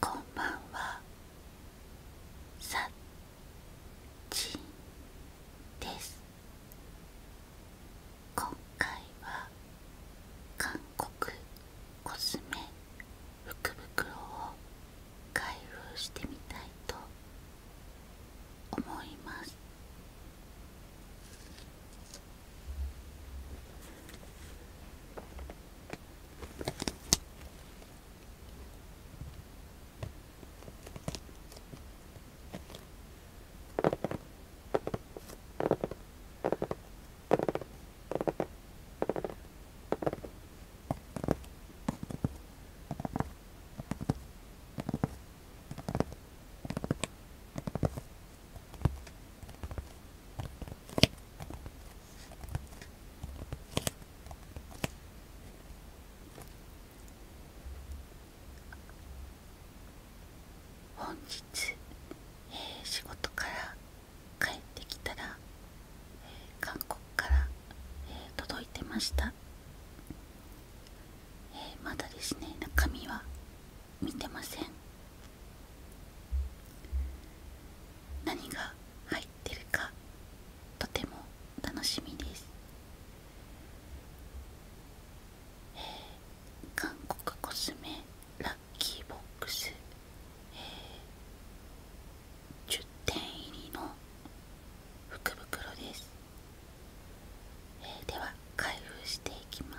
こんばんはさっちです今回は韓国コスメ福袋を開封してみたいと思います本日、仕事から帰ってきたら、韓国から、届いてましたえまだですね中身は見てません何が入ってるかとても楽しみです、韓国コスメラッキーボックス、10点入りの福袋です、では開封していきます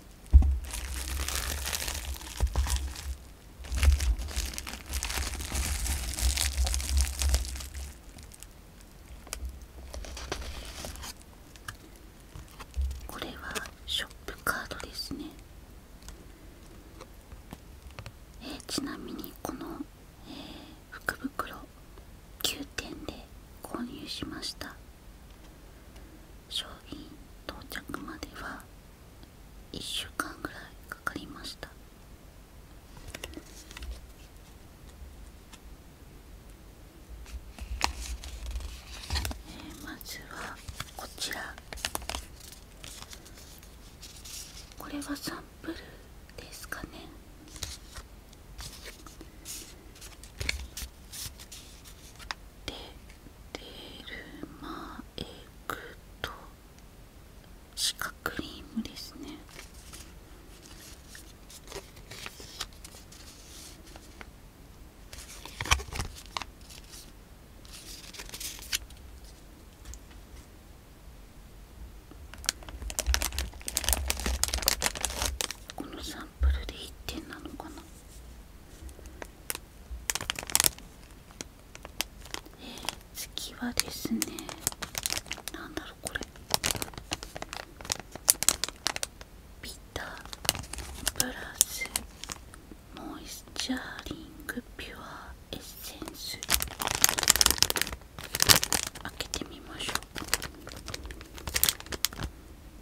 これはショップカードですねちなみにこの、福袋9点で購入しました商品到着までは、1週間ぐらいかかりましたえー、まずはこちらこれはサンプルですかねでデルマエグと。シカクリームですねこのサンプルで一点なのかな次はですねなんだろうこれビタープラスモイスチャーリングピュアエッセンス開けてみましょう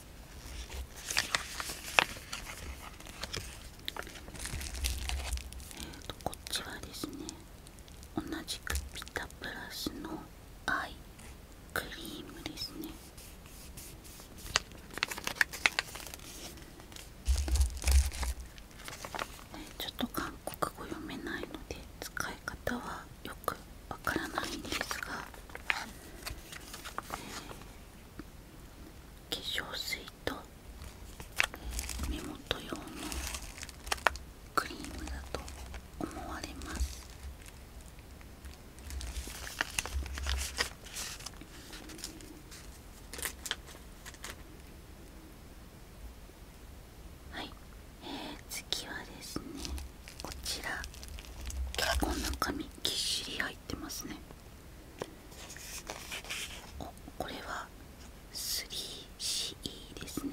ー、とこっちはですね同じくピタプラスのアイクリームですねちょっと韓国語読めないので使い方はよくわからないんですが、化粧水と目元用のクリームだと思われますはい、えー、次はですねこちら結構中身ぎっしり入ってますねおこれはスリー c e ですね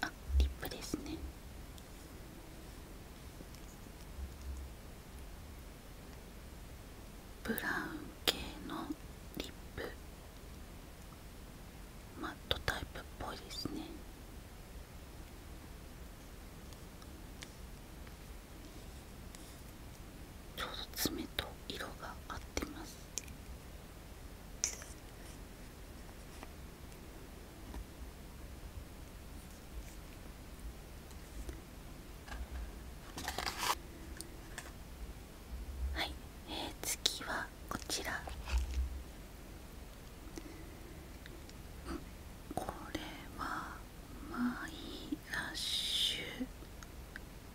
あリップですねブラウン系のリップマットタイプっぽいですねちょうど爪と色が合ってますはい、えー、次はこちらこれはまあいいラッシュ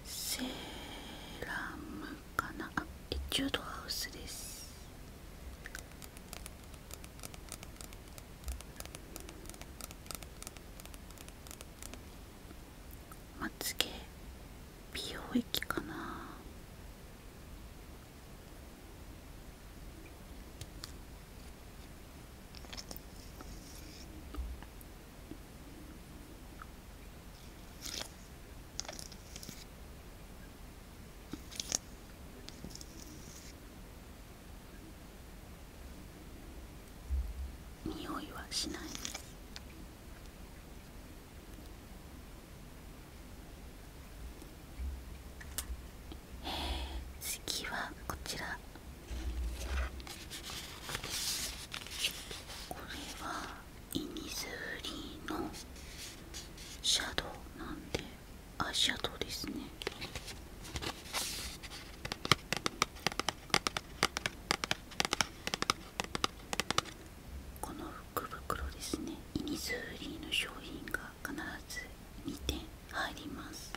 セラムかなあエチュードハウスですまつげ美容液かな匂いはしないえー、次はこちらこれはイニズーリーのシャドウなんでアシャドウですねこの福袋ですねイニズーリーの商品が必ず2点入ります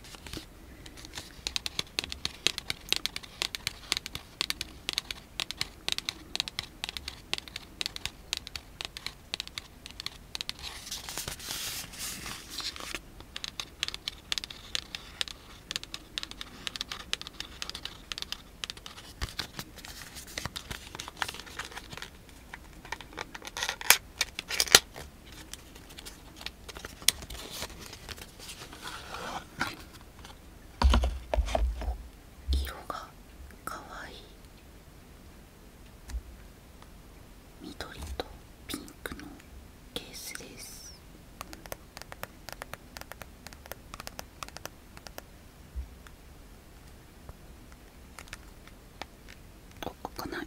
色がかわいい緑とピンクのケースですあ開ない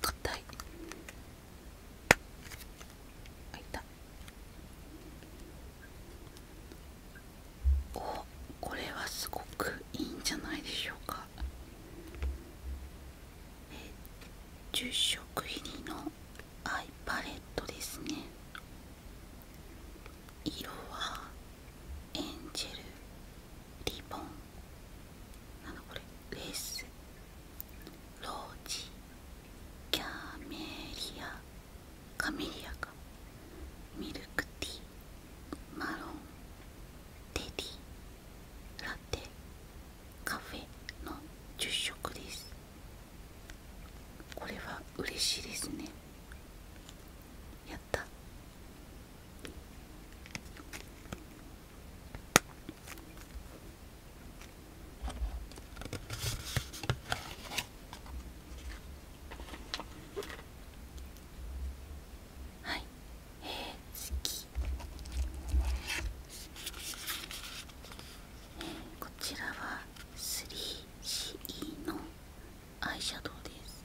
硬いあいたおこれはすごくいいんじゃないでしょうかえ10色入りのアイパレットですね色はエンジェルリボンなんだこれレースロージキャメリアカメリアかミルクティーマロンテディラテカフェの10色ですこれは嬉しいですねやったはいえー、好き、えー、こちらはスリー c e のアイシャドウです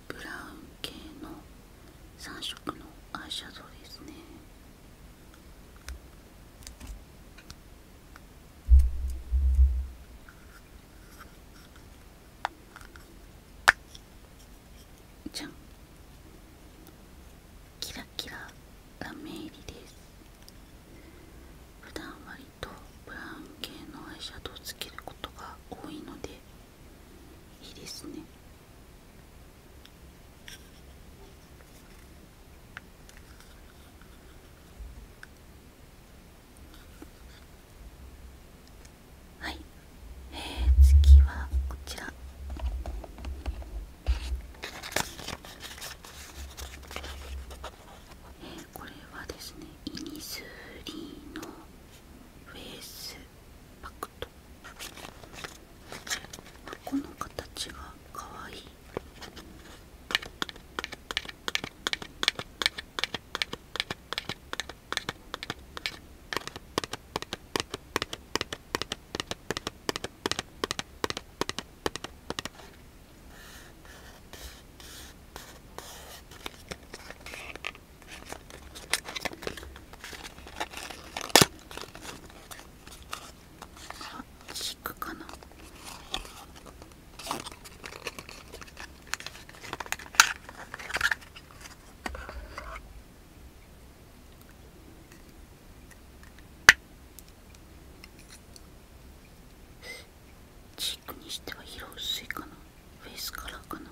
ブラウン系の3色のアイシャドウですねじゃんキラキララメ入りです普段割とブラウン系のアイシャドウをつけることが多いのでいいですねはい、えー、次はこちらえー、これはですねイニスリーのフェイスパクト箱の形がかわいいあ引くかなチークにしては色薄いかなフェスカラーかな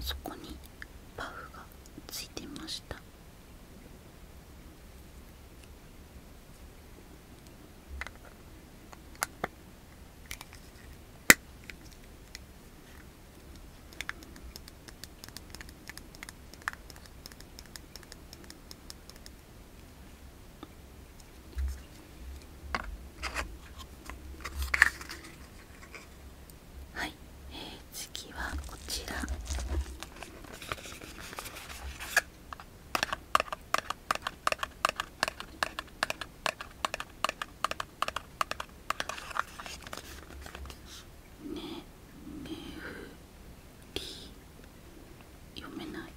そこにパフがついてましたはい、えー、次はこちらねねふリ読めない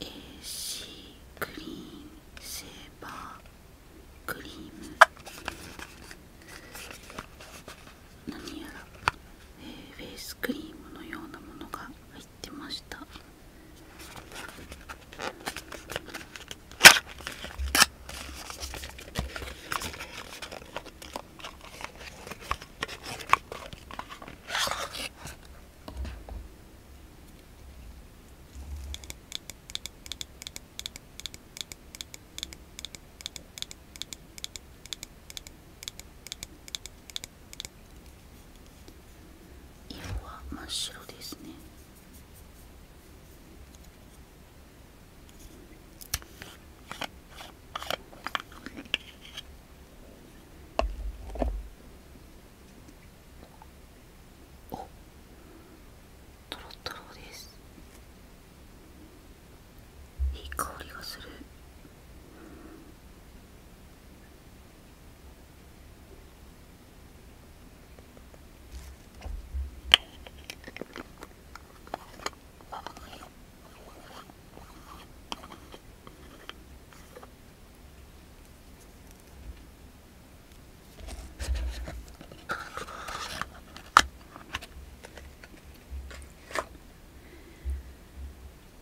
AC クリーンセーバークリーム何やら、えー、フェイスクリームのようなものが入ってました色は真っ白ですね。おとろとろですいい香りがする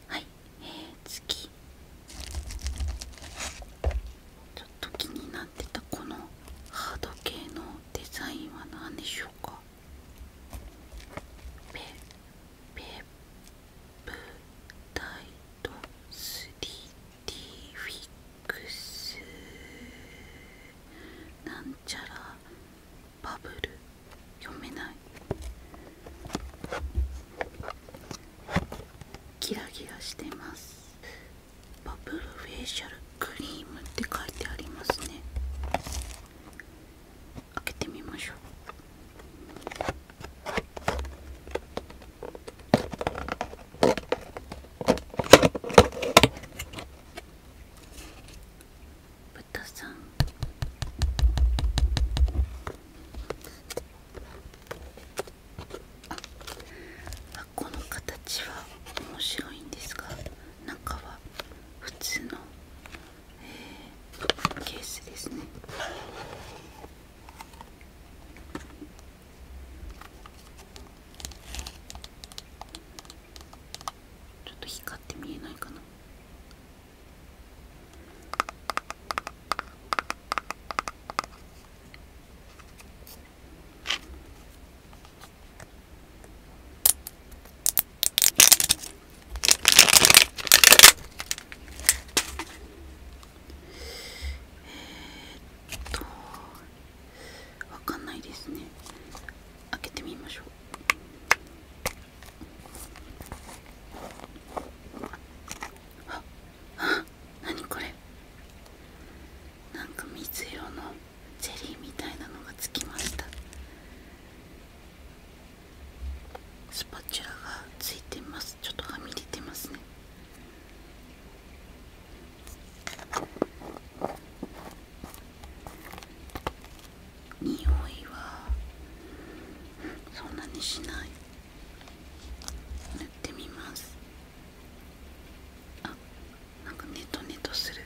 はい、え次ちょっと気にななこのハード系のデザインは何でしょうかペペプタイト。スドディ。フィックスなんちゃらバブル読めないキラキラしてますバブルフェイシャルクリームって書いてありますね開けてみましょう豚さんあ箱の形は面白いんですが中は普通の、ケースですねちょっと光って見えないかなえっとわかんないですね開けてみましょうあっ何これなんか水色の。ゼリーみたいなのがつきましたスパチュラがついてますちょっとはみ出てますね匂いはそんなにしない塗ってみますあなんかネトネトする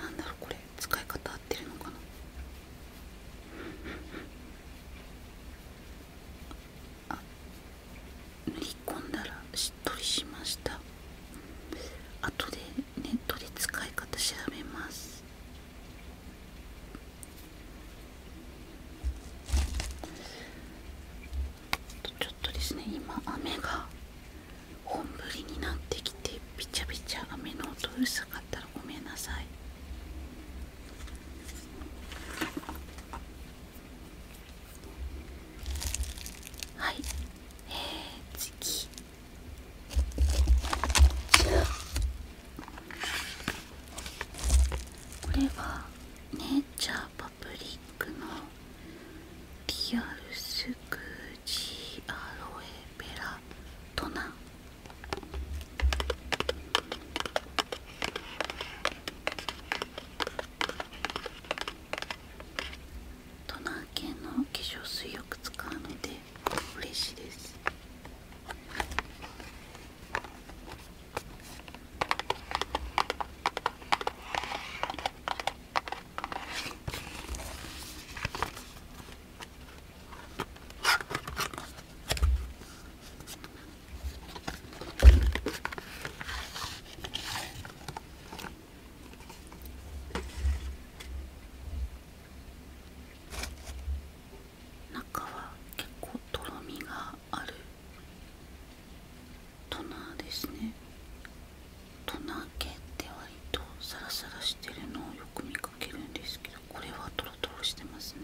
なんだろうこれ使い方合ってるのかなあ塗り込んだらしっとりしました後でネットで使い方調べますちょっとですね今雨が本降りになってきてびちゃびちゃ雨の音うるさかったらごめんなさいはいえー、次じゃあこれはネイチャーパブリックのリアルスクジアロエペラトナトナー系の化粧水よく使うので嬉しいです中は結構とろみがあるトナーですねトナー系って割とサラサラしてるのをよく見かけるんですけどこれはトロトロしてますね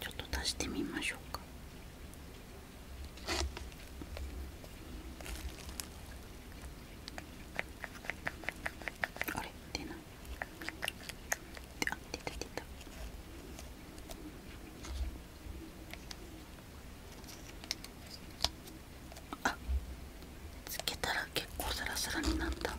ちょっと足してみましょうかあれ出ないあ出た出たあつけたら結構サラサラになった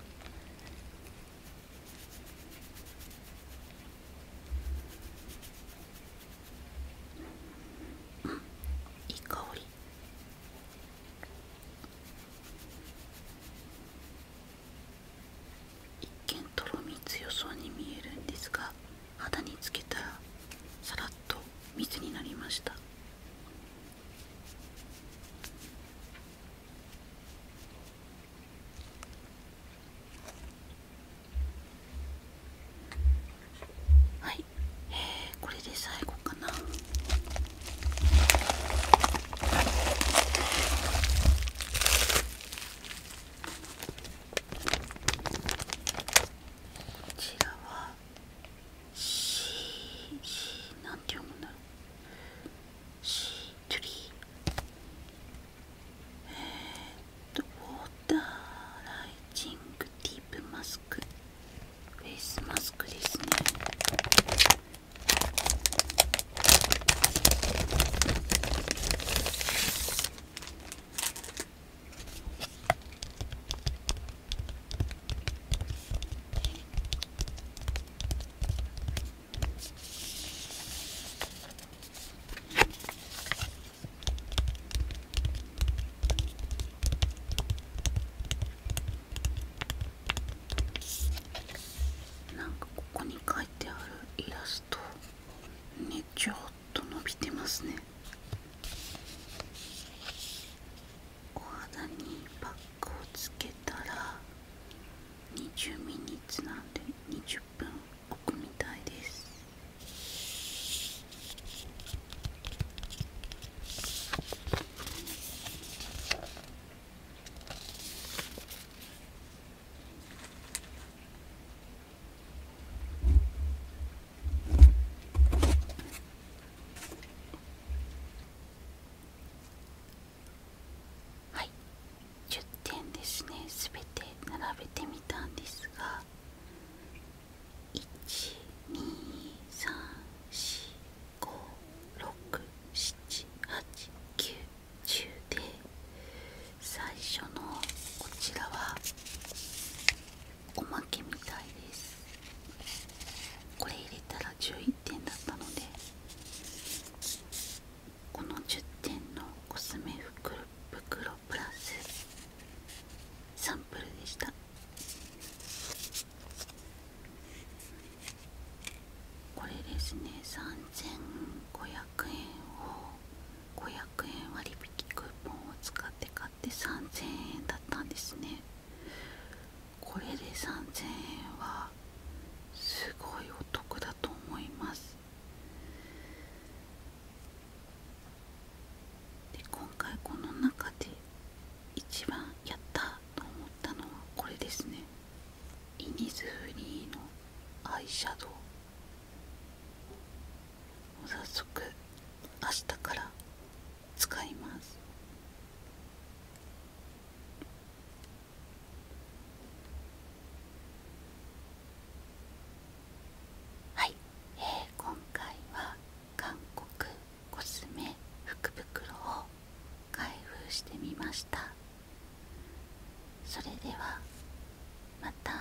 うんいい香り一見とろみ強そうに見えるんですが肌につけたらさらっと水になりましたはい、えー、これで最後かな。こちらはシーなんて読むんだろシートゥリーえー、っとウォーターライジングディープマスクフェイスマスクですねなんかここに書いてあるイラストねちょっと伸びてますねお肌にパックをつけたら20ミリッツなんで20分置くみたいですはい10点ですね全て並べてみたんですが12345678910で最初のこちらはおまけみたいですこれ入れたら11点だったのでこの10点のコスメ袋プラスサンプルでしたこれですね3500円を500円割引クーポンを使って使って円だったんですねこれで3000円はすごいお得だと思いますで今回この中で一番やったと思ったのはこれですねイニズフリーのアイシャドウ早速明日から使いますはい、えー、今回は韓国コスメ福袋を開封してみましたそれではまた